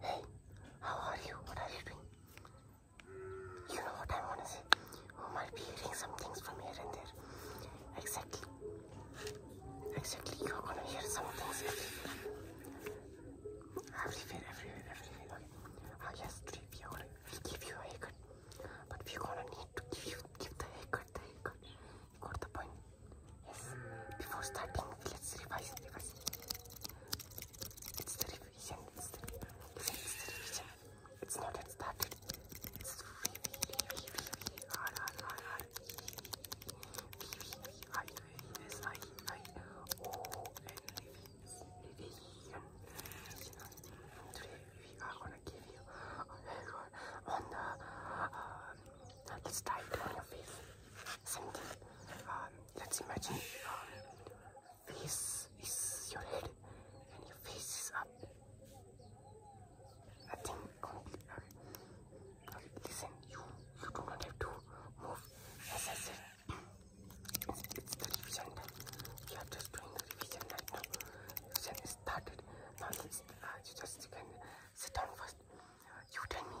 Hey, how are you? What are you doing? You know what I want to say? You might be hearing some things from here and there. Exactly. Exactly. You are gonna hear some things everywhere. Everywhere, everywhere, everywhere. Okay. Ah, yes, today we are gonna we'll give you a haircut. But we're gonna need to give you give the haircut, the haircut. You got the point. Yes. Before starting, let's revise, It's the revision. It's the revision. It's the revision. It's not yet started. It's V V V V V R R R R V V V V V I S I I O N revision. Today we are gonna give you a haircut on the. Um, let's tie it on your face something. Um, let's imagine face um, is your head and your face is up. Nothing complete. Uh, okay, listen, you, you do not have to move. As I said, it's, the revision time. are just doing the revision right now. Revision started. Now, uh, you just you can sit down first. Uh, you tell me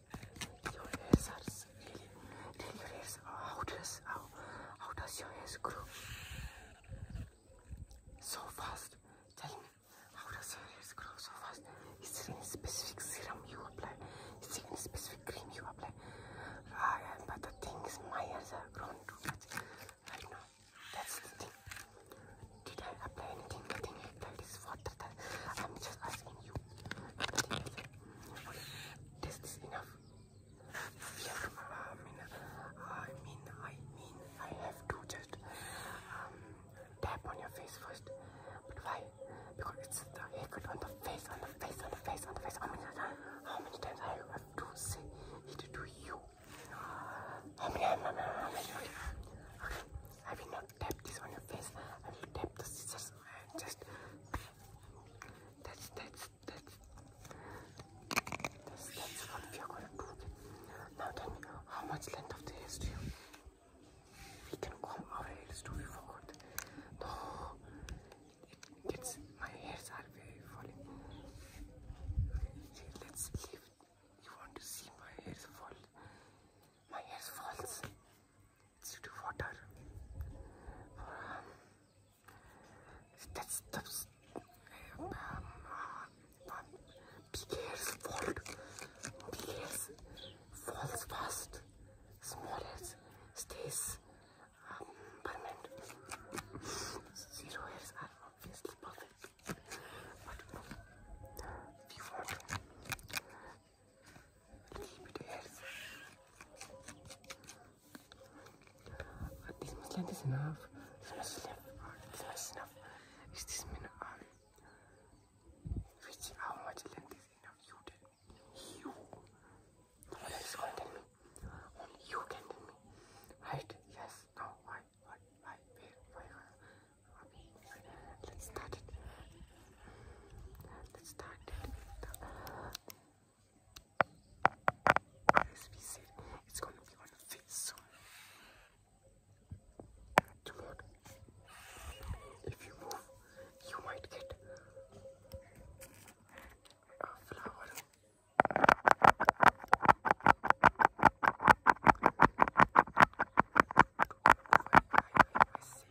your hairs are really, really your hairs. How does how how does your hairs grow so fast? Tell me, how does your hairs grow so fast? Is there any specific serum you apply? Is there any specific cream you apply? Ah, but the thing is, my hairs are grown too much right now. That's the thing. Did I apply anything? Nothing. That is water. That I'm just asking you. This is enough. I mean, I mean, I mean, I have to just um, tap on your face first. But why? Because it's the haircut on the face, on the face, on the face, on the face. How many, how many times I have to say it to you? I mean, I will not tap this on your face. I will tap the scissors and just that's that's that's that's, that's what we are gonna do. Now tell me how much length of the hair do you we can comb our hairs too, we forgot. No it gets my hairs are very falling. Let's leave you want to see my hairs fall. My hairs falls it's due to water. that's the um, fall. Big falls fast. Small stays um, permanent. are obviously perfect, but we want but this much length is enough. This much length, this much is enough. Is this mean um, which how much length is enough? You tell me. You. No one else gonna tell me. Only you can tell me. Right? Yes. No. Why? What? Why? Where? Why? Let's start it. Let's start it the, as we said, it's gonna be on the face soon. Tomorrow, if you move, you might get a flower. I, I, I say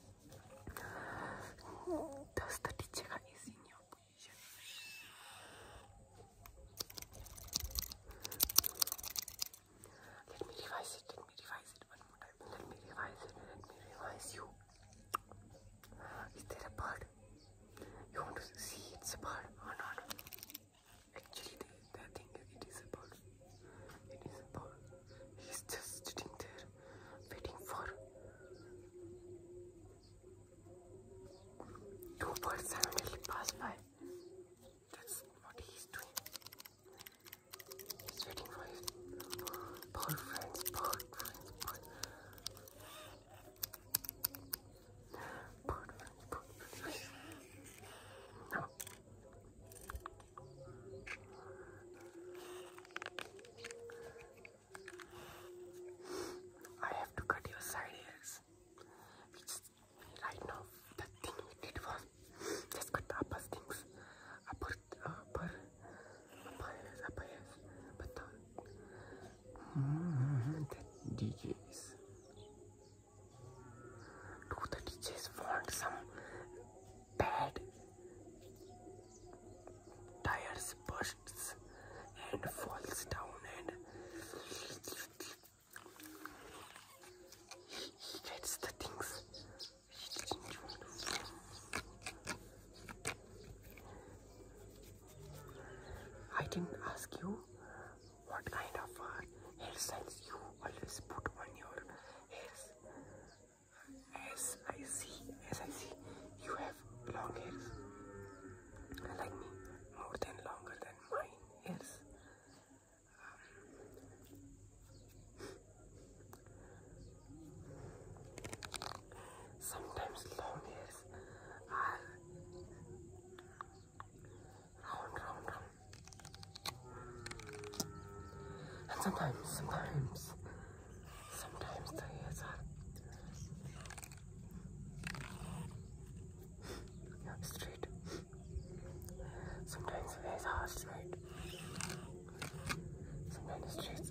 достаточно Let me revise it, let me revise it one more time. Let me revise it, let me revise you. Is there a bird? You want to see it's a bird or not? Actually, the, the thing is, it is a bird. It is a bird. He's just sitting there waiting for two birds suddenly pass by. That's what he's doing. He's waiting for his bird friends, bird friends, bird. Bird friends, bird friends. Now, I have to cut your side hairs. Which right now the thing we did was just cut the upper things, upper, upper, upper hairs, upper hairs. But the mm-hmm, DJs, do the DJs want some bad tires bursts and falls down and gets the things I didn't ask you what kind of uh, hairstyles you always put on your ears. As I see, as I see, you have long ears Like me, more than longer than mine hairs. Sometimes long ears are round, round, round. And sometimes, sometimes Sometimes the hairs are yeah, straight. Sometimes the hairs are straight. Sometimes straight.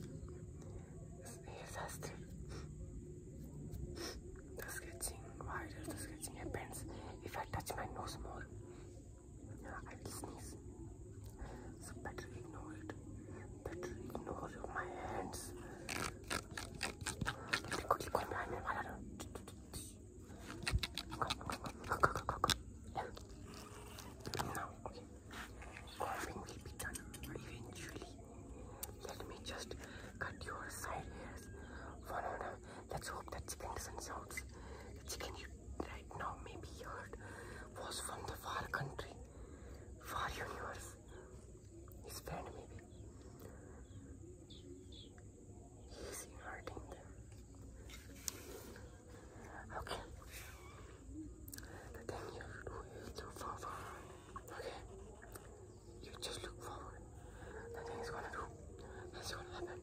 Hairs are straight. The sketching, why does the sketching happens? If I touch my nose more, I will sneeze. So better ignore it that ignore my hands. Now, okay, combing will be eventually. Let me just cut your side hairs. let's hope that chicken doesn't sound. The chicken you right now maybe heard was from the far country far universe. His friend maybe. He is hurting them. Okay. The thing you do look forward. Okay. You just look forward. The thing is gonna do. That's gonna happen to you.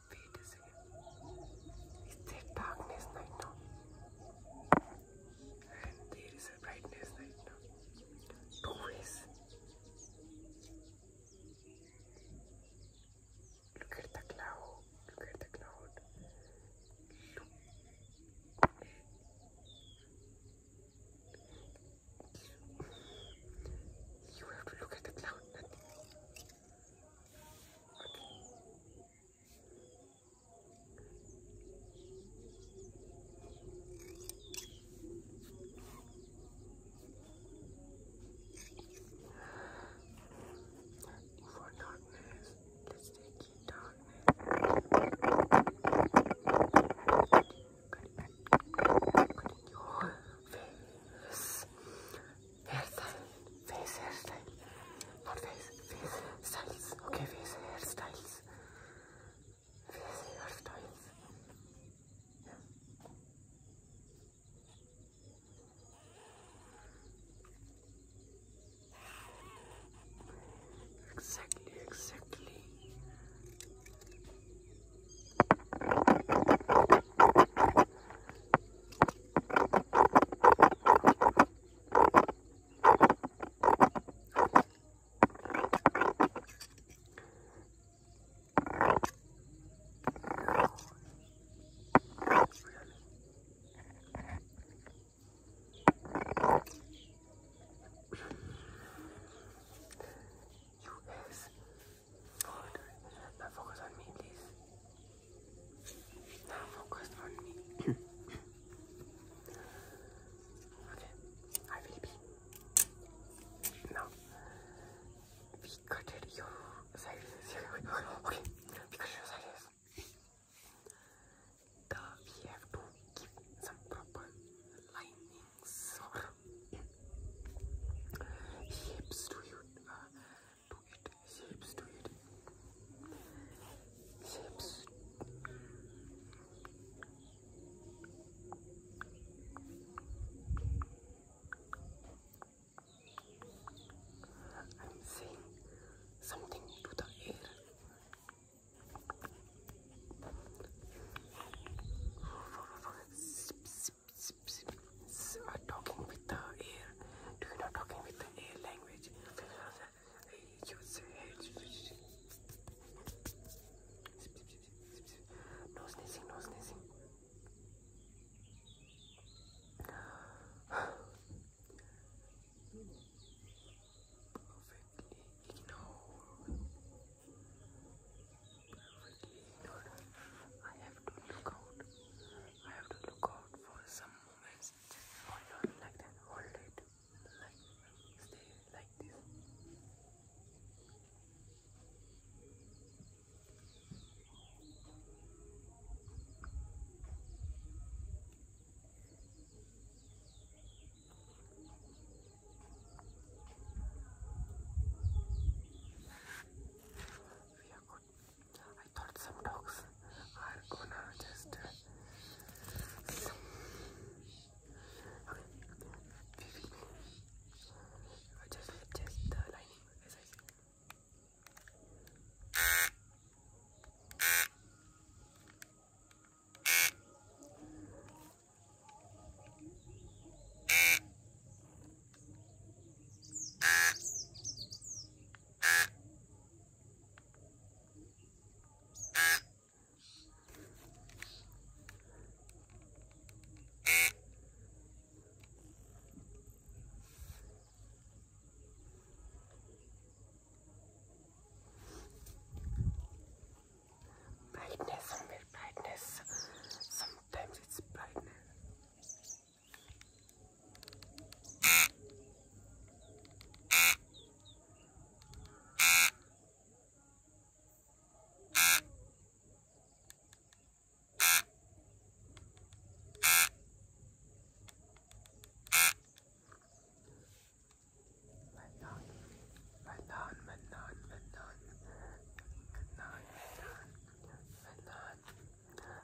Wait a second. Is darkness right now? And there is a brightness right now. Two Look at the cloud. Look at the cloud. You have to look at the cloud. For darkness, let's take you darkness. Your face hairstyle, face hairstyle, not face, face styles, okay, face hairstyles, face hairstyles, Exactly, exactly. Now focus on me, please. Not focused on me. okay, I will be. Now, we cutted your sizes. okay, we cut your sizes. we have to give some proper linings or to you. Uh, to it, shapes to it, shapes. I'm saying something to the air. Zip, zip, zip, zip uh, talking with the air. Do you know talking with the air language? You uh, sneezing, no sneezing. Perfectly ignored. I have to look out. I have to look out for some movements. Hold on like that. Hold it. Like stay like this. I thought some dogs are gonna just. Uh, I just adjust the uh, lining as I brightness, some brightness. Sometimes it's brightness. Manan, Manan, Manan, Manan,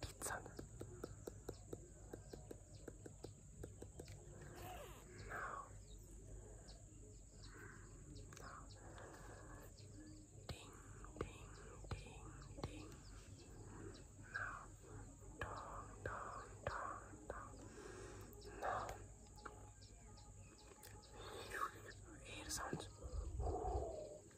Pizza. No. No. Ding, ding, ding, ding. No. Dong, dong, dong, dong. No. Air sounds.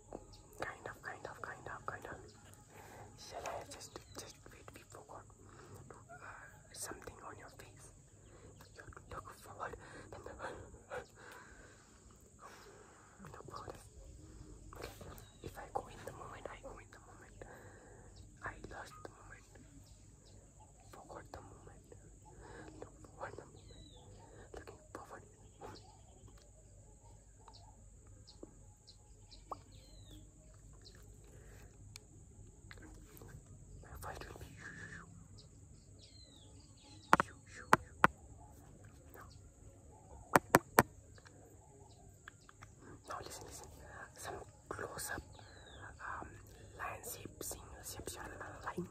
Kind of, kind of, kind of, kind of. Shall I just, just wait, we forgot uh, something on your face. You look forward look forward. Okay. If I go in the moment, I go in the moment. I lost the moment. Forgot the moment. Look forward. Fight with me. Now. now listen, listen. Some close-up um, line shapes, shapes, lightnings.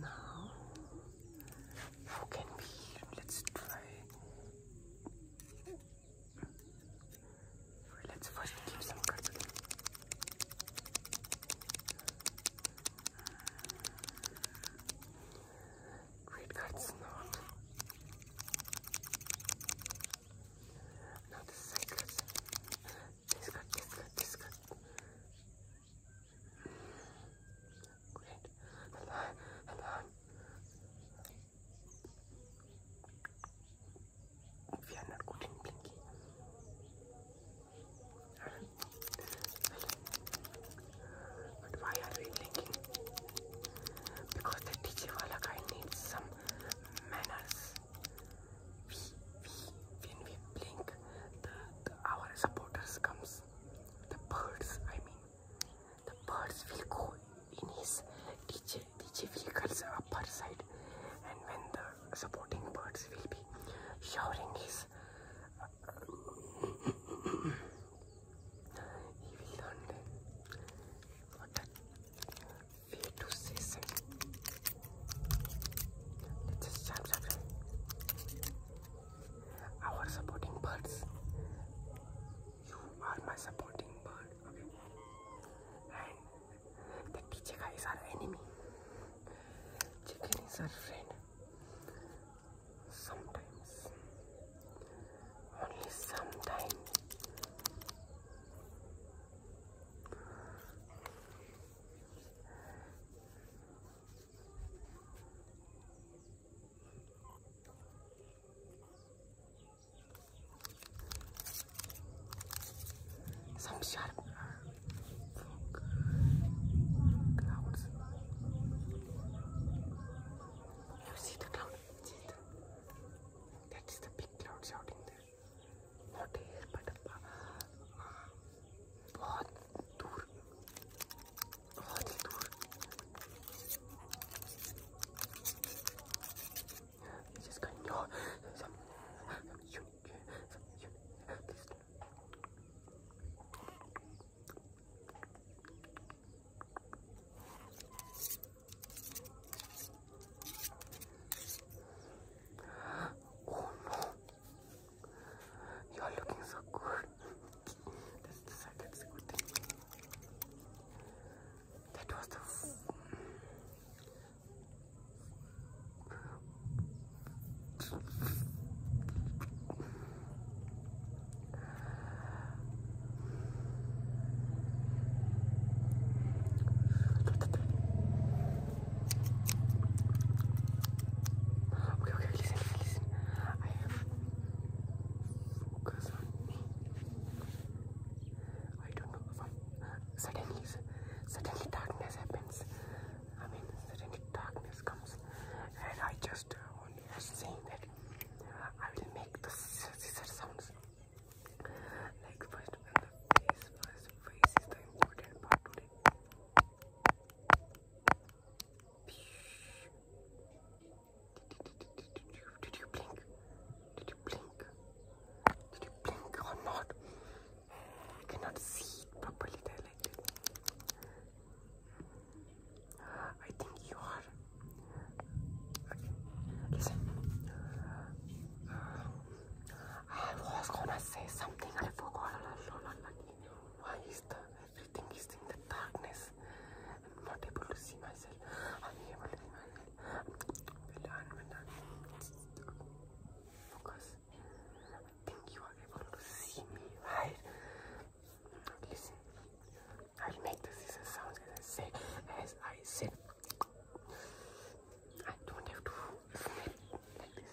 Now, how can we? Let's try. Let's first give some cuts. Great cuts now. No, this is like this. This Great. Hello, hello. We are not good in blinking. But why are we blinking? Because the teacher wala guy needs some manners. when we blink, the, our supporters comes. The birds, I mean, the birds will go in his DJ, DJ vehicle's upper side, and when the supporting birds will be showering his. Uh, he will fear to cease. let just jump, jump, jump. supporting birds. You are my supporting bird. Okay. And the teacher guy is our enemy. Chicken friend. Sometimes. Only sometimes. Some sharp clouds. You see the cloud? That's the big clouds out in there. Not here, but ah, बहुत दूर, बहुत ही दूर. This is going on. Some, some Oh no, you're looking so good. that's the side, that's a good thing. That was the suddenly suddenly darkness happens i mean suddenly darkness comes and i just uh, was saying that i will make the scissor sounds like first and the face, first face is the important part today. Did you blink? Did you blink? Did you blink or not? I cannot see it properly. There like this. I think you are. Listen. I was gonna say something, I forgot. Why is the everything is in the darkness? I'm not able to see myself. I'm able to see myself. Well done, well I think you are able to see me, right? Listen. I will make the season sound as I say, as I said. I don't have to explain like this.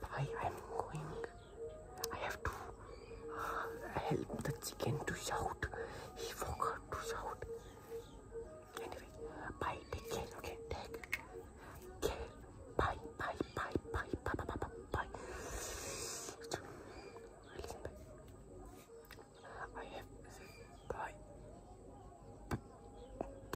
Why I'm going? I have to uh, help the chicken to shout. He forgot to shout. Anyway, bye. Take care. Okay, take care. Bye, bye, bye, bye, bye, bye, bye, bye. Listen, bye. I have to say bye.